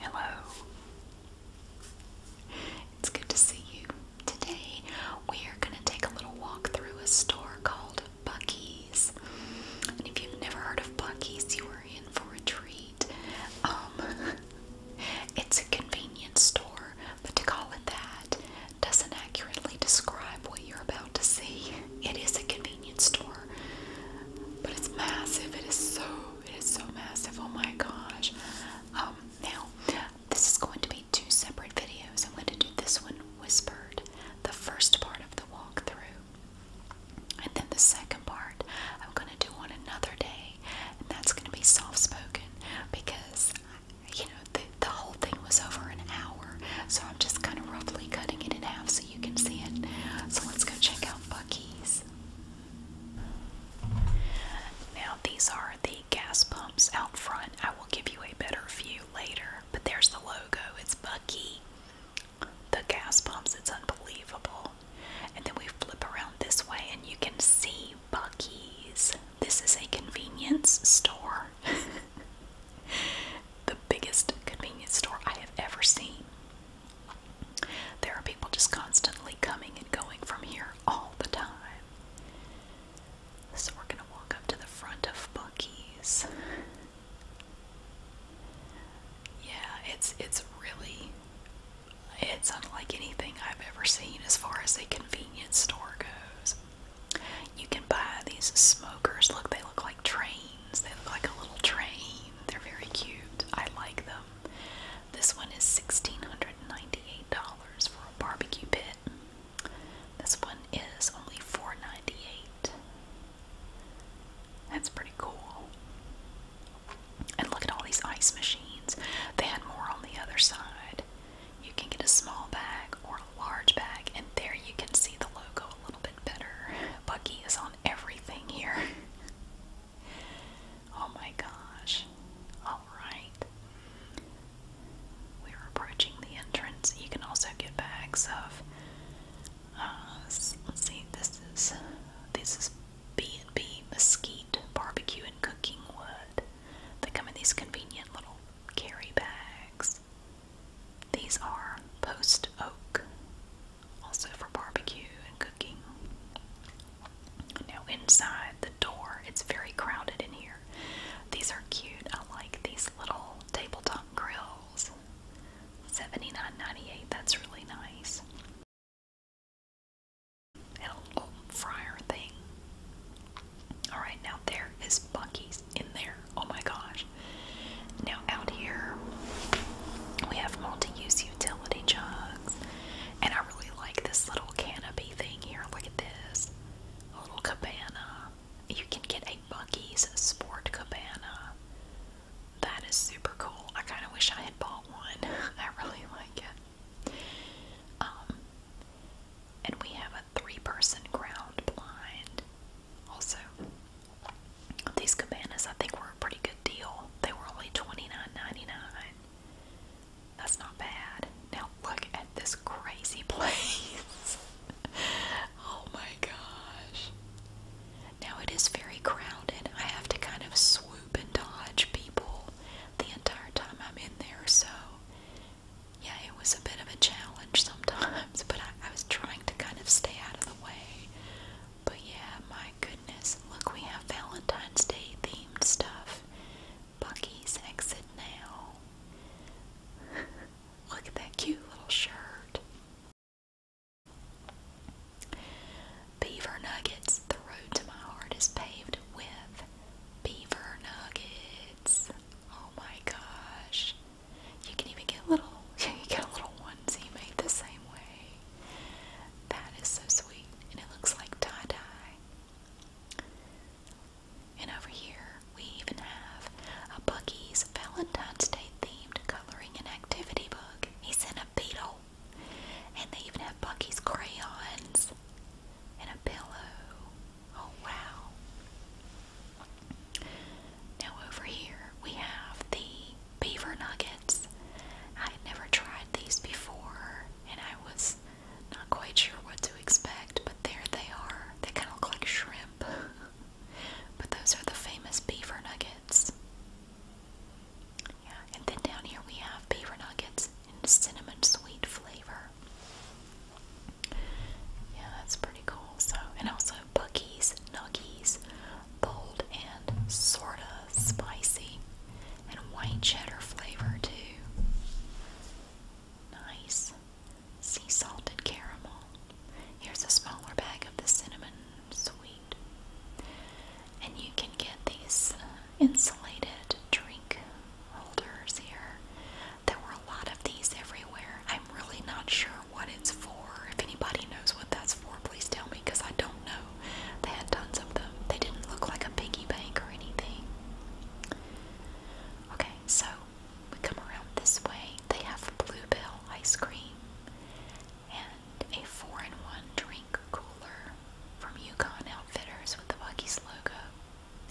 Hello. It's good to see you. Today we are going to take a little walk through a store called Bucky's. And if you've never heard of Bucky's, you are in for a treat. Um, it's a convenience store, but to call it that doesn't accurately describe what you're about to see. It is a convenience store, but it's massive. It is so it is so massive. Oh my gosh. Um, now, this is going to be two separate videos. I'm going to do this one whispered, the first part of the walkthrough. And then the second part, I'm going to do on another day. And that's going to be soft spoken because, you know, the whole thing was over an hour. So I'm just kind of roughly cutting it in half so you can see it. So let's go check out Bucky's. Now, these are the gas pumps out front. I will give you a better view later, but there's the logo. It's Bucky. The gas pumps, it's unbelievable. And then we flip around this way, and you can see Bucky's. This is a convenience store. the biggest convenience store I have ever seen. There are people just constantly coming and going from here all the time. So we're going to walk up to the front of Bucky's. Yeah, it's it's really it's unlike anything I've ever seen as far as a convenience store goes. You can buy these smokers. Look, they look like trains. They look like a little train. They're very cute. I like them. This one is $1,698 for a barbecue pit. This one is only $498. That's pretty cool. And look at all these ice machines. They had more on the other side. You can get a small bag or a large bag, and there you can see the logo a little bit better. Bucky is on everything here. Oh my gosh. Alright. We're approaching the entrance. You can also get bags of uh, let's see, this is this is B and B mesquite barbecue and cooking wood. They come in these convenient little carry bags. These are post oak also for barbecue and cooking. Now, inside the door, it's very crowded in here. These are cute. I like these little tabletop grills. $79.98, that's really nice. And a little fryer thing. Alright, now there is Bucky's in there. Oh my gosh. Now out here, we have multi use utility jug. And I really like this little canopy thing here. Look at this. little cabana. You can get a Bucky's Sport Cabana. That is super cool. I kind of wish I had bought one. I really like it. Um, and we have a three person ground blind. Also, these cabanas, I think, were a pretty good deal. They were only $29.99. That's not bad. Now, look at this crazy place. oh my gosh. Now, it is very crowded. I have to kind of swoop and dodge people the entire time I'm in there, so yeah, it was a bit of a challenge sometimes, but I was trying to kind of stay out of the way but yeah, my goodness, look, we have Valentine's Day themed stuff. Bucky's exit now. look at that cute little shirt. Beaver Nuggets, the road to my heart is paved with beaver nuggets. Oh my gosh. You can even get little you get a little onesie made the same way. That is so sweet. And it looks like tie-dye. And over here, we even have a Buggy's Valentine's Day themed coloring and activity book. He's in a beetle. And they even have Bucky's crayons and a pillow. Oh, wow. Now, over here, we have the beaver nuggets. I had never tried these before and I was not quite sure what to expect, but there they are. They kind of look like shrimp. but those are the famous beaver nuggets. Yeah, and then down here we have beaver nuggets in cinnamon sweet flavor. Yeah, that's pretty cool. So, and also Bucky's Nuggies bold and sorta spicy, and white cheddar flavor too. Nice sea salted caramel. Here's a smaller bag of the cinnamon sweet, and you can get these uh, insulated drink holders here. There were a lot of these everywhere. I'm really not sure what it's for. If anybody knows what that's for, please tell me because I don't know. They had tons of them. They didn't look like a piggy bank or anything. Okay, so we come around this way. They have Blue Bluebell ice cream and a four in one drink cooler from Yukon Outfitters with the Bucky's logo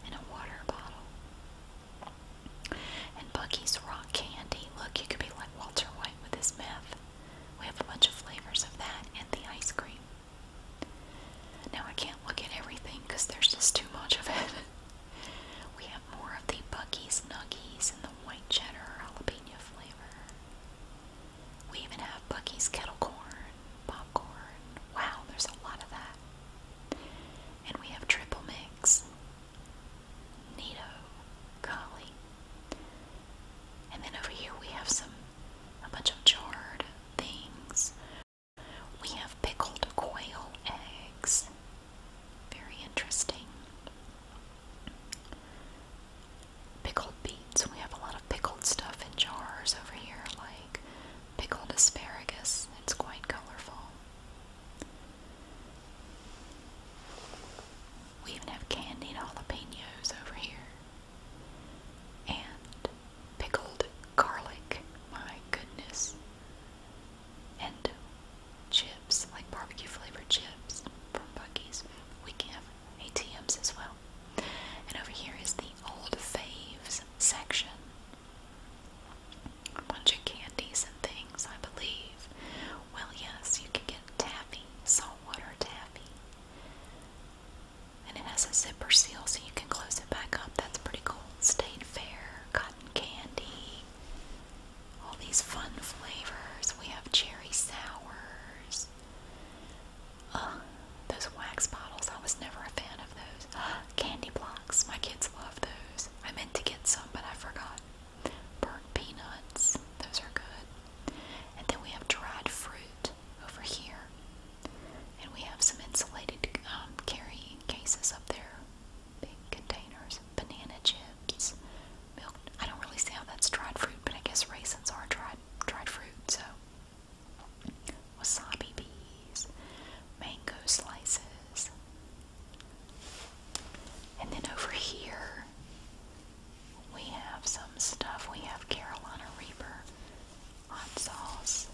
and a water bottle. And Bucky's rock candy. Look, you could be like Walter White with his meth. We have a bunch of flavors of that and the ice cream. Now I can't look at everything because there's just too much of it. we have more of the Bucky's Nuggies and the white cheddar jalapeno flavor. We even have Bucky's kettle corn, popcorn. Wow, there's a lot of that. And we have triple mix, Nito, Collie, and then over here we have some a bunch of jarred things. We have pickled quail eggs. Very interesting. Pickled beets. We have a lot of pickled stuff in jars over here, like pickled asparagus. It's quite colorful. We even have candied jalapenos over here. And pickled garlic, my goodness. And chips, like barbecue flavored chips from Bucky's. We can have ATMs as well. And over here is the old faves section. A bunch of candies and things, I believe. Well, yes, you can get taffy, saltwater taffy. And it has a zipper seal so you can close it back up. That's pretty cool. State Fair, cotton candy, all these fun flavors. We have cherry sours. Uh, those wax bottles, I was never a fan of those. Candy blocks, my kids love those. I meant to get some, but I forgot. Burnt peanuts, those are good. And then we have dried fruit over here. And we have some insulated um, carrying cases up there. Big containers. Banana chips. Milk. I don't really see how that's dried fruit, but I guess raisins are dried, dried fruit, so. Wasabi peas, Mango slices. And then over here, we have some stuff. We have Carolina Reaper hot sauce,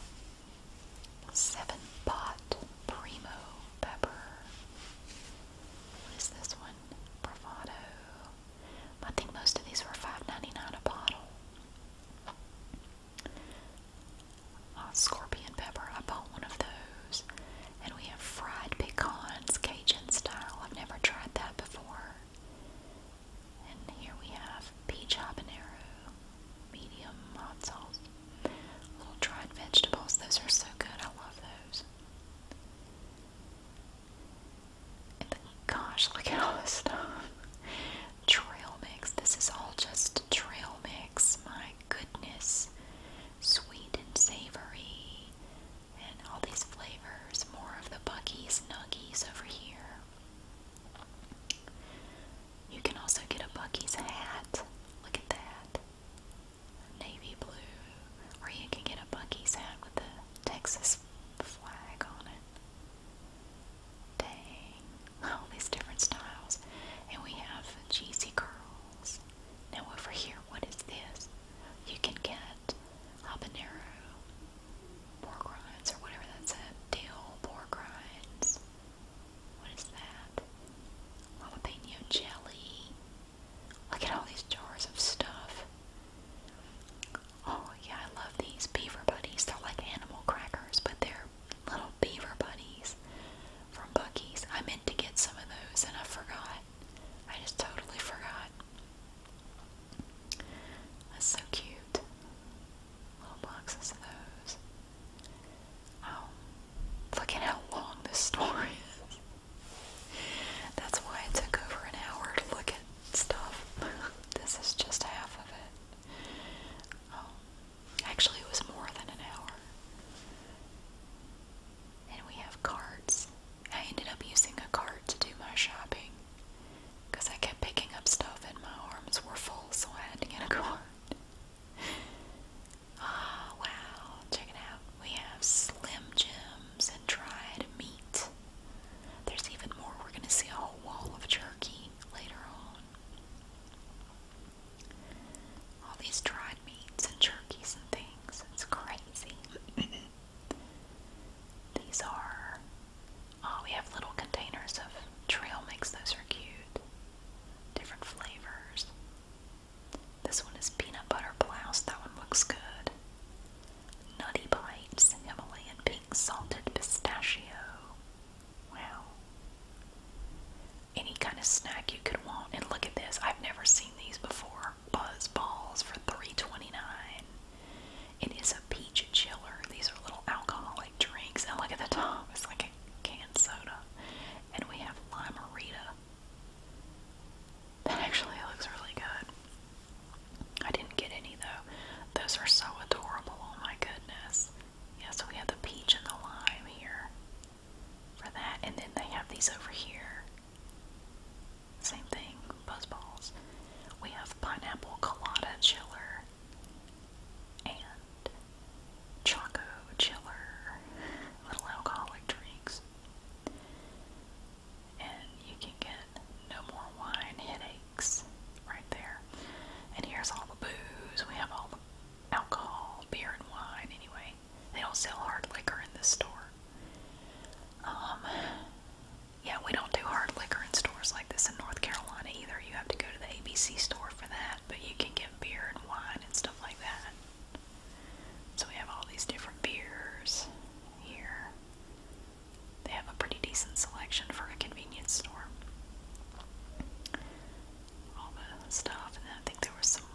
seven pot primo pepper. What is this one? Bravado. I think most of these were 5 a bottle. Uh, scorpion pepper. I bought one of those. And we have fried pecans, Cajun style. I've never tried that before. And here we have peach habanero, medium hot sauce, little dried vegetables. Those are so good. I love those. gosh, look at all this stuff. Trail mix. This is all just trail mix. My goodness. Sweet and savory. And all these flavors, more of the Bucky's Nuggies over here. You can also get a Bucky's hat. Look at that. Navy blue. Or you can get a Bucky's hat with the Texas flag on it. Dang. All these different styles. And we have cheesy curls. Now over here, what is this? You can get habanero, pork or whatever that's it. Dill pork What is that? Jalapeno jelly. Look at all these jars of stuff. Oh yeah, I love these beaver buddies. They're like animal crackers, but they're little beaver buddies from Bucky's. I meant to get some of those and I forgot. I just totally forgot. That's so cute. Little boxes of those. Oh, look at how long this story is. That's why it took over an hour to look at stuff. this is just half of it. Oh, actually, it was more than an hour and we have carts. I ended up using a cart to do my shopping because I kept picking up stuff and my arms were full, so I had to get a cart. Ah, wow. Check it out. We have Slim Jims and dried meat. There's even more. We're going to see a whole wall of jerky later on. All these dried meats and jerkies and things. It's crazy. These are, oh, we have little containers of trail mix. Those are cute. Different flavors. This one is peanut butter blouse. That one looks good. Nutty Bites, Himalayan Pink Salted Pistachio. Wow. Any kind of snack you could want. And look at this. I've never seen these before. Buzz Balls for three twenty is a peach chiller. These are little alcoholic drinks. And look at the top, it's like a canned soda. And we have Limerita. That actually looks really good. I didn't get any though. Those are so adorable. Oh my goodness. Yeah, so we have the peach and the lime here for that. And then they have these over here. Same thing, buzz balls. We have pineapple colada chiller and choco chiller, little alcoholic drinks. And you can get no more wine headaches right there. And here's all the booze. We have all the alcohol, beer, and wine anyway. They don't sell hard liquor in this store. Um, yeah, we don't do hard liquor in stores like this in North Carolina either. You have to go to the ABC store for that, but you can get beer and wine and stuff like that. So we have all these different beers here. They have a pretty decent selection for a convenience store. All the stuff, and I think there was some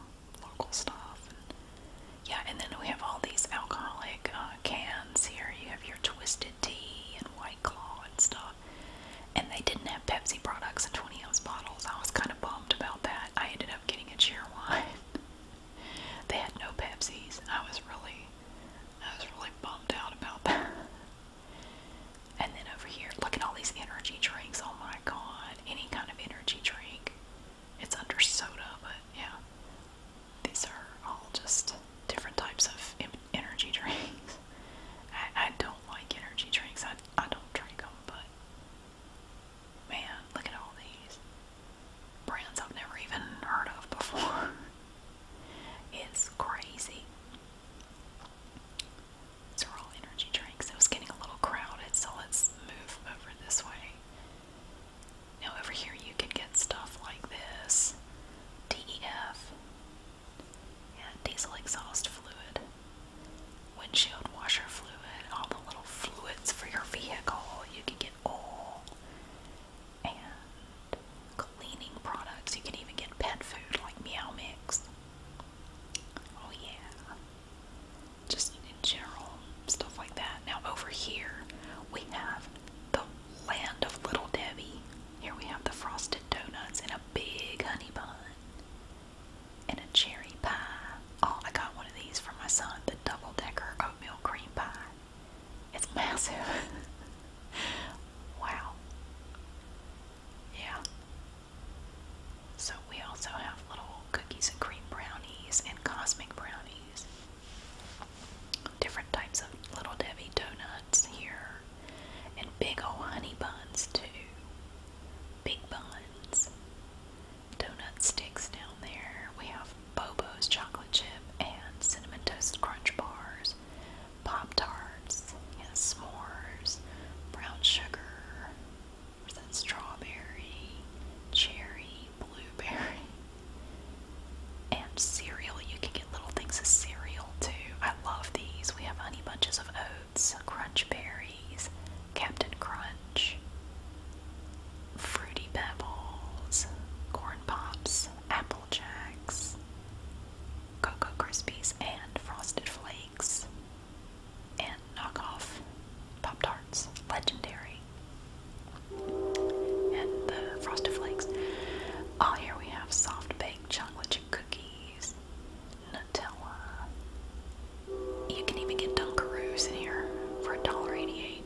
local stuff. And yeah, and then we have all these alcoholic uh, cans here. You have your Twisted Tea and White Claw and stuff. And they didn't have Pepsi products in 20 ounce bottles. I was kind of bummed about that. I ended up getting a cheer wine. they had no Pepsis. I was really, I was really bummed out about that. and then over here, look at all these energy drinks. Oh my god, any kind of energy drink. It's under soda, but yeah. These are all just different types of energy drinks. I, don't like energy drinks. I, I don't drink them, but man, look at all these brands I've never even heard of before. it's crazy. These are all energy drinks. It was getting a little crowded, so let's move over this way. Now over here you can get stuff like this. DEF. Yeah, diesel exhaust fluid. Windshield washer fluid. All the little fluids for your vehicle. You can get oil and cleaning products. You can even get pet food like Meow Mix. Oh yeah. Just in general, stuff like that. Now, over here, we have the land of Little Debbie. Here we have the frosted donuts and a big honey bun and a cherry pie. Oh, I got one of these for my son the double decker oatmeal cream pie. It's massive. wow. Yeah. So we also have little cookies and cream brownies and cosmic brownies. Different types of Little Debbie donuts here, and big old honey buns too. Big buns, donut sticks down there. We have Bobo's chocolate chip and cinnamon toast crunch bars, pop tarts, yeah, s'mores, brown sugar. Where's that strawberry, cherry, blueberry? And cereal, you can get little things of cereal too. I love these. We have honey bunches of oats, crunch berries, Captain Crunch, fruity pebbles, corn pops, apple jacks, cocoa krispies, and frosted flakes, and knockoff pop tarts. Legendary and the frosted flakes. Oh, here we have soft baked chocolate chip cookies, Nutella. You can even get Dunkaroos in here for $1.88.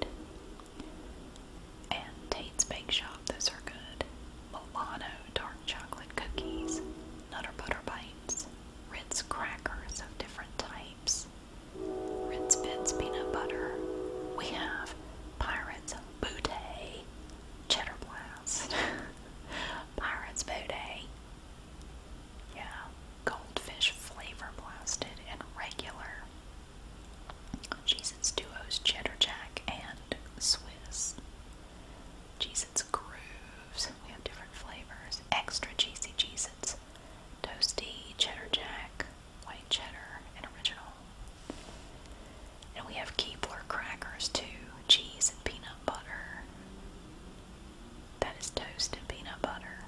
And Tate's Bake Shop, those are good. Milano dark chocolate cookies, Nutter Butter Bites, Ritz crackers of different types, Rince Bits peanut butter. We have Pirates bootay Cheddar Blast. Pirates bootay. Yeah, Goldfish Flavor Blasted and Regular. Cheez-Its Duos Cheddar Jack and Swiss. Cheez-Its Grooves. We have different flavors. Extra Cheesy Cheez-Its. Toasty Cheddar Jack white cheddar, and original. And we have Keebler crackers too, cheese and peanut butter. That is toast and peanut butter.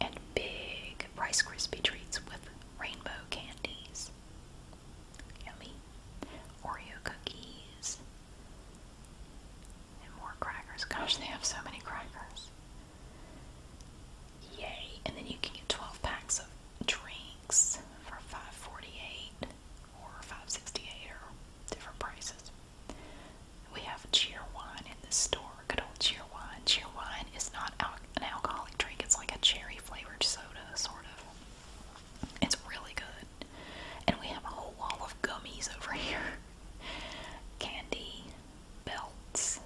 And big Rice Krispie treats with rainbow candies. Yummy. Oreo cookies. And more crackers. Gosh, they have so many crackers. Yay! And then you can get 12 packs of drinks for 5 or 5 or different prices. We have cheer wine in this store. Good old cheer wine. Cheer wine is not an alcoholic drink. It's like a cherry flavored soda, sort of. It's really good. And we have a whole wall of gummies over here. Candy, belts,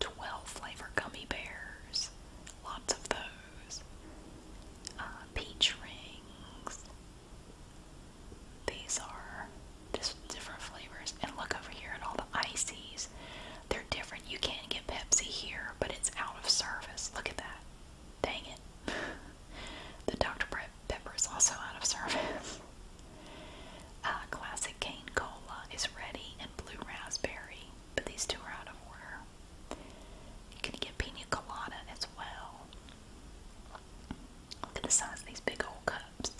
12 flavor gummy bears, lots of those, uh, peach rings. These are just different flavors. And look over here at all the ices. They're different. You can't get Pepsi here, but it's out of service. Look at that. Dang it. the Dr. Pepper is also out of service. Uh, classic cane cola is ready and blue raspberry, but these two are out of order. You can get pina colada as well. Look at the size of these big old cups.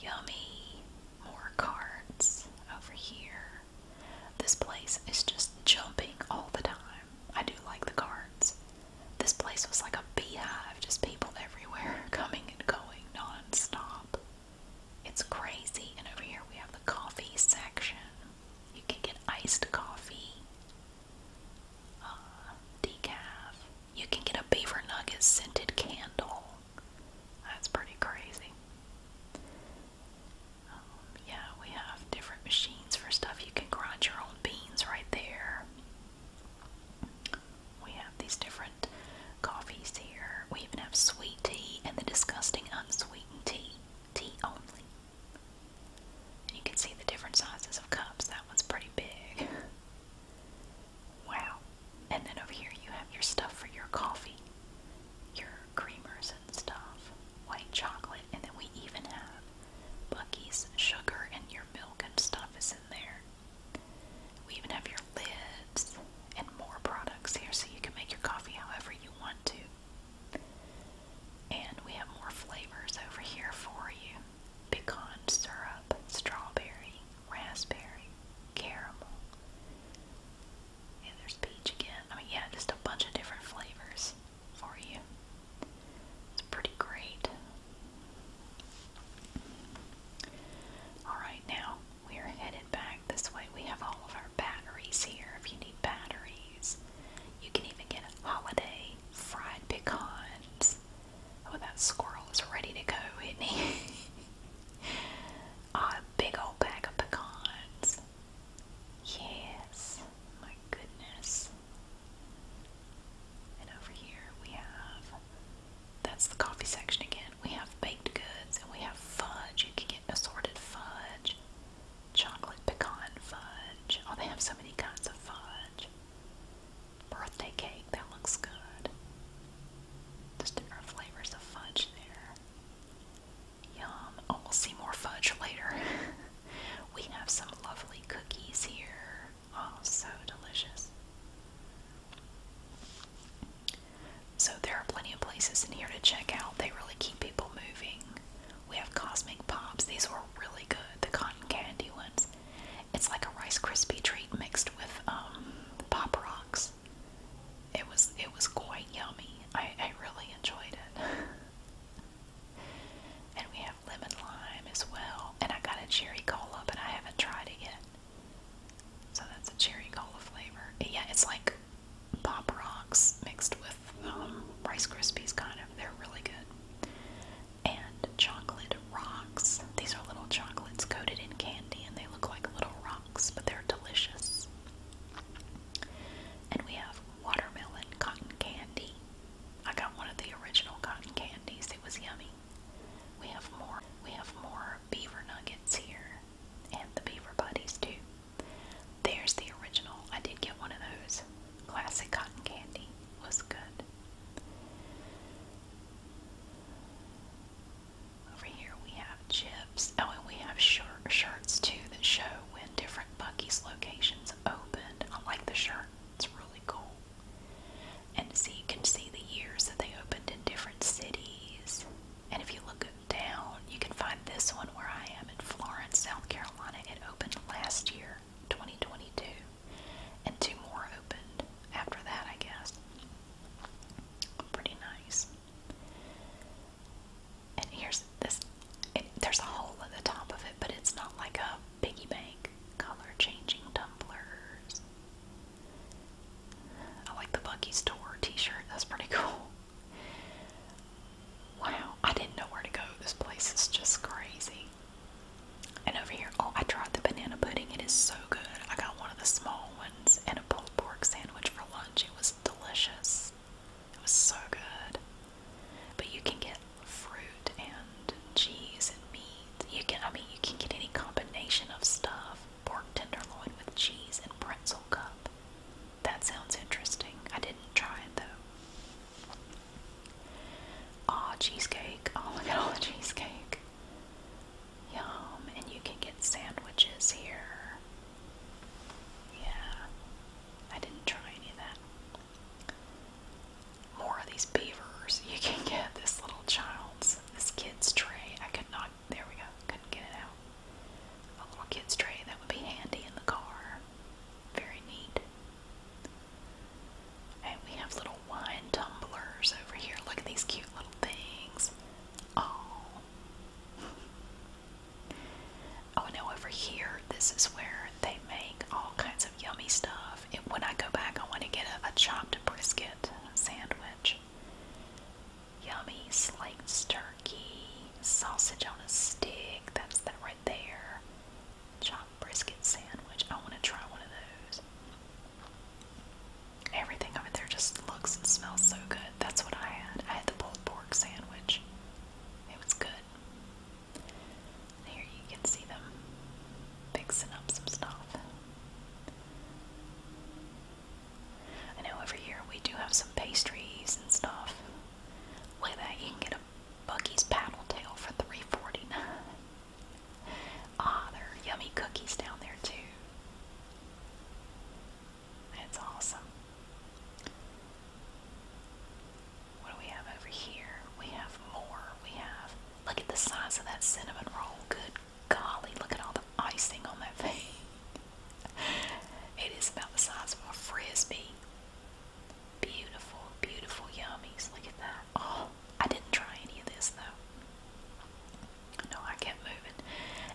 Yummy. More cards over here. This place is just jumping all the time. I do like the cards. This place was like a beehive, just people everywhere coming and going non-stop. It's crazy. And over here we have the coffee section. You can get iced coffee, uh, decaf. You can get a beaver nugget scented candle. That's pretty crazy. Um, yeah, we have different machines for stuff. You can grind your own beans right there. We have these different coffees here. We even have sweet tea and the disgusting unsweetened tea. Tea only. you can see the different sizes of cups. That one's pretty big. Wow. And then over here you have your stuff for your coffee. Your creamers and stuff. White chocolate. And then we even have Bucky's sugar and your milk and stuff is in there. We even have your lids and more products here so you can make your coffee however you want to. And we have more flavors over here for you pecan syrup, strawberry, raspberry, caramel. And there's peach again. I mean, yeah, just a bunch of different flavors for you. It's pretty great. Alright, now we are headed back this way. We have all of our batteries here if you need batteries. You can even get a holiday fried pecans. Oh, that squirrel is ready to go, isn't he? big old bag of pecans. Yes, my goodness. And over here we have that's the coffee section again. We have baked goods and we have fudge. You can get assorted fudge, chocolate pecan fudge. Oh, they have so many kinds of fudge. Birthday cake, that looks good. Just different flavors of fudge there. Yum. Oh, we'll see more fudge later. we have some lovely cookies here. Oh, so delicious. So there are plenty of places in here to check out. They really keep people moving. We have Cosmic Pops. These were really good, the cotton candy ones. It's like a Rice Krispie treat mixed with um, Pop Rocks. It was it was quite yummy. I, I really enjoyed it. and we have lemon lime as well. And I got a cherry cola, but I haven't tried it yet. So that's a cherry cola flavor. Yeah, it's like Pop Rocks mixed with um, Rice Krispies, kind of. They're really good. And chocolate rocks. These are little chocolates coated in candy, and they look like little rocks, but they're delicious. And we have watermelon cotton candy. I got one of the original cotton candies. It was yummy. We have more we have more beaver nuggets here. And the beaver buddies too. There's the original. I did get one of those. Classic cotton candy was good. Over here we have chips. Oh, and we have shirt, shirts too that show when different Bucky's locations opened. I like the shirt, it's really cool and so you can see the years that they opened in different cities. And if you look down, you can find this one where I am in Florence, South Carolina. It opened last year, 2022, and two more opened after that, I guess. Pretty nice. And here's this. there's a hole at the top of it, but it's not like a piggy bank. Color changing tumblers. I like the Bucky's Tour t-shirt. That's pretty cool. Wow, I didn't know where to go. This place is just crazy. And over here, oh, I tried the banana pudding. It is so good. I got one of the small ones and a pulled pork sandwich for lunch. It was delicious. It was so good. But you can get fruit and cheese and meat. You can, I mean, you can get any combination of stuff pork tenderloin with cheese and pretzel cup. That sounds interesting. I didn't try it though. Ah, cheesecake. Oh, look at all the cheesecake. Yum. And you can get sandwiches here. Yeah. I didn't try any of that. More of these beavers. You can get this little child's this kid's tray. I could not. There we go. Couldn't get it out. A little kid's tray that would be handy in the car. Very neat. And we have little wine tumblers over here. Look at these cute little things. Oh. Oh, and now over here, this is where they make all kinds of yummy stuff. And when I go back, I want to get a chopped brisket sandwich. Yummy slaked turkey, sausage on a stick, that's that right there. Chopped brisket sandwich, I want to try one of those. Everything over there just looks and smells so good. That's what I had. I had the pulled pork sandwich. It was good. Here you can see them fixing up some stuff. I know every year we do have some pastries and stuff. Look that, you can get a Bucky's paddle tail for three forty nine. Ah, there are yummy cookies down there too. That's awesome. What do we have over here? We have more. We have look at the size of that cinnamon roll. Good Golly, look at all the icing on that thing. it is about the size of a frisbee. Beautiful, beautiful yummies. Look at that. Oh, I didn't try any of this though. No, I kept moving.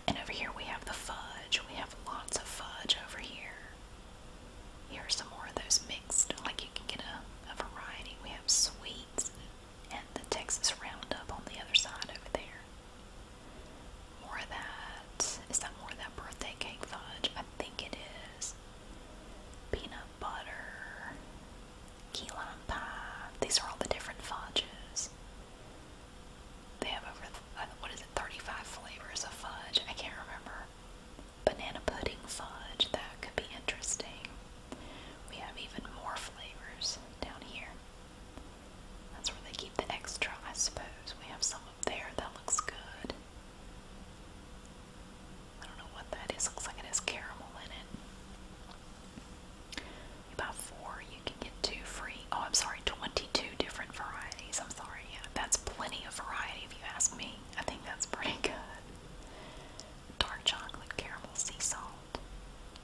And over here we have the fudge. We have lots of fudge over here. Here are some more of those mixed, like you can get a, a variety. We have sweets, and the Texas Roundup on the other side over there. More of that. Is that more of that birthday cake fudge? I think it is. Peanut butter, key lime pie. These are all the different fudges. They have over, uh, what is it, 35 flavors of fudge? I can't remember. Banana pudding fudge. That could be interesting. We have even more flavors down here. That's where they keep the extra, I suppose. We have some up there that looks good. I don't know what that is. Looks like it has caramel in it. You four, you can get two free. Oh, I'm sorry, 22 different varieties. I'm sorry. Yeah, that's plenty of variety if you ask me. I think that's pretty good. Dark chocolate, caramel, sea salt,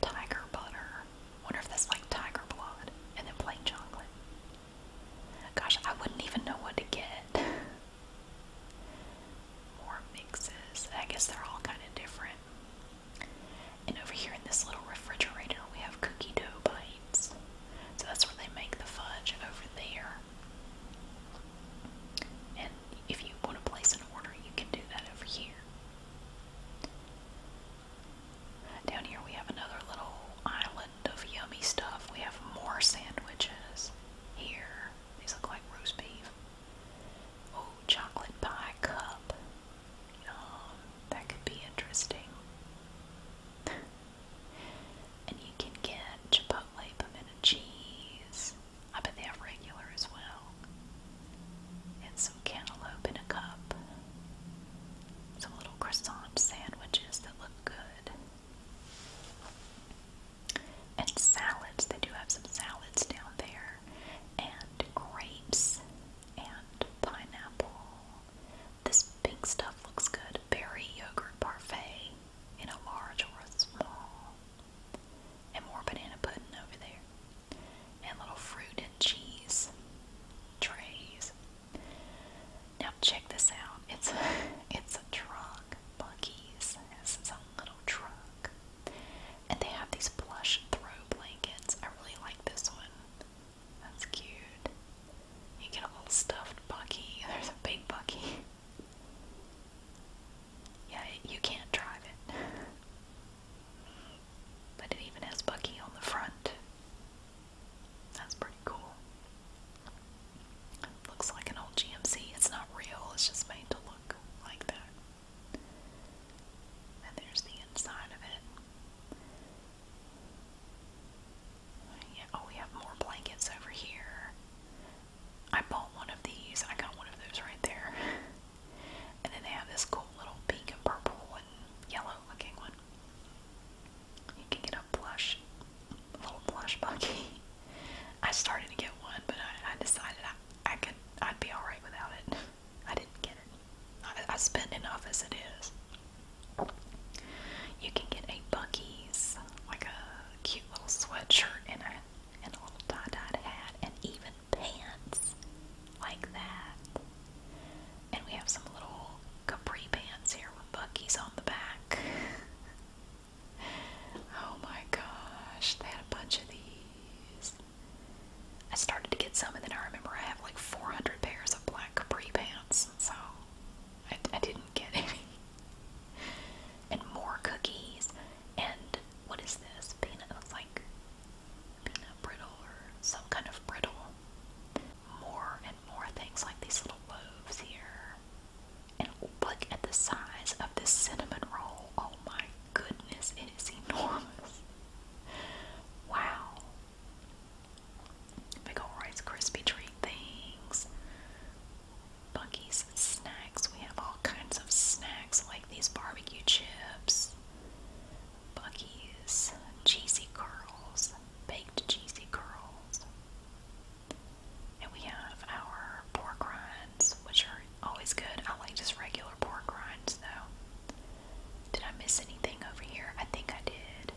Tiger butter. Wonder if that's like tiger blood and then plain chocolate. Gosh, I wouldn't even know what to get. More mixes. I guess they're all kind of different. And over here in this little refrigerator, we have cookie dough bites. So that's where they make the fudge over there. And if you want to place an order, you can do that over here. Down here we have another little island of yummy stuff. We have more sandwiches here. These look like roast beef. Oh, chocolate pie cup. That could be interesting. and you can get chipotle pimento cheese I bet they have regular as well. And some cantaloupe in a cup. Some little croissant sandwiches that look good. And salads. They do have some salads down there. And grapes. And pineapple. This pink stuff looks good. Berry yogurt parfait in a large or a small. And more banana pudding over there. And little fruit and cheese trays. Now check this out. It's a, it's a truck. Bucky's has its a little truck. And they have these plush throw blankets. I really like this one. That's cute. You get a little stuffed Bucky. There's a big Bucky. Yeah, you can't drive it. but it even has Bucky on the front. That's pretty cool. Looks like an old GMC. It's not real, it's just made to look like that. And there's the inside of it. Yeah, oh, we have more blankets over here. I bought one of these. I got one of those right there. And then they have this cool little pink and purple and yellow looking one. You can get a plush, a little plush monkey. I started to get one, but I, decided I, could, I'd be alright without it. I didn't get it. I, I spend enough as it is. You can get a Bucky's, like a cute little sweatshirt in it and a little tie-dyed hat, and even pants like that. And we have some little capri pants here with buckies on the back. oh my gosh, they had a bunch of these. I started to get some, and then I remember I have like 400 pairs of black capri pants, so I, didn't get any. And more cookies, and what is this? Peanut, it like and brittle or some kind of brittle. More and more things like these little loaves here. And look at the size of this cinnamon roll. Oh my goodness, it is enormous. Wow. Big ol' Rice Krispie treat things. Bucky's snacks. We have all kinds of snacks like these barbecue chips Bucky's cheesy curls, baked cheesy curls. And we have our pork rinds, which are always good. I like just regular pork rinds though. Did I miss anything over here? I think I did.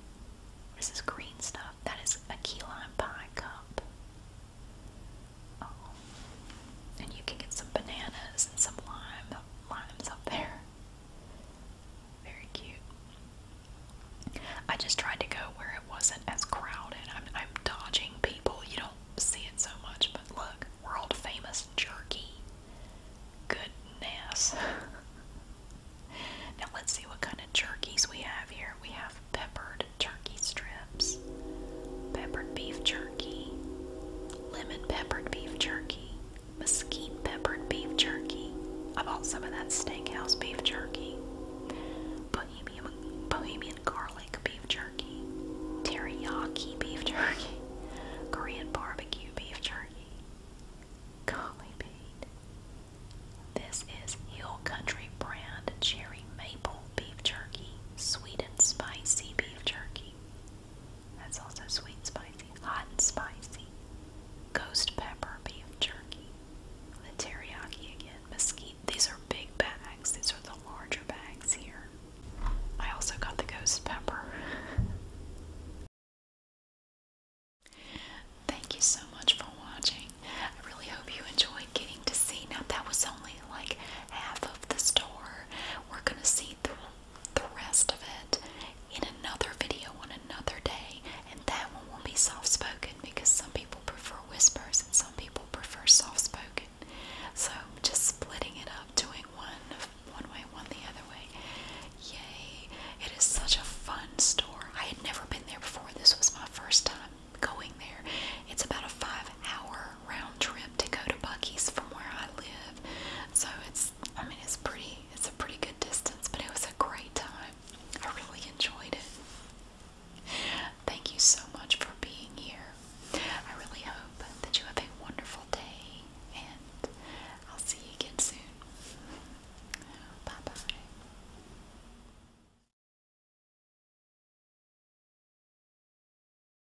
This is green stuff. That is a key lime pie cup. Oh, and you can get some bananas and some lime. Lime's up there. Very cute. I just tried to go where it wasn't as crowded. I'm, I'm dodging people. You don't see it so much, but look, world famous jerky. Goodness. now let's see what kind of jerkies we have here. We have peppered turkey strips peppered beef jerky, lemon peppered beef jerky, mesquite peppered beef jerky. I bought some of that steakhouse beef jerky, bohemian, bohemian garlic beef jerky, teriyaki beef jerky, Korean barbecue beef jerky. Golly bean. This is Hill Country brand cherry maple beef jerky, sweet and spicy beef jerky. That's also sweet and spicy. Hot and spicy. Ghost pepper beef jerky. The teriyaki again. Mesquite. These are big bags. These are the larger bags here. I also got the ghost pepper. Thank you so much for watching. I really hope you enjoyed getting to see. Now that was only like half of the store. We're gonna see the, the rest of it in another video on another day, and that one will be soft spoken because some people prefer whispers and some people prefer soft spoken. So just splitting it up, doing one one way, one the other way. Yay! It is such a fun store. I had never been there before. This was my first time going there. It's about a five hour round trip to go to Bucky's from where I live. So it's I mean it's pretty it's a pretty good distance, but it was a great time. I really enjoyed it. Thank you so much for being here. I really hope that you have a wonderful day and I'll see you again soon. Bye bye.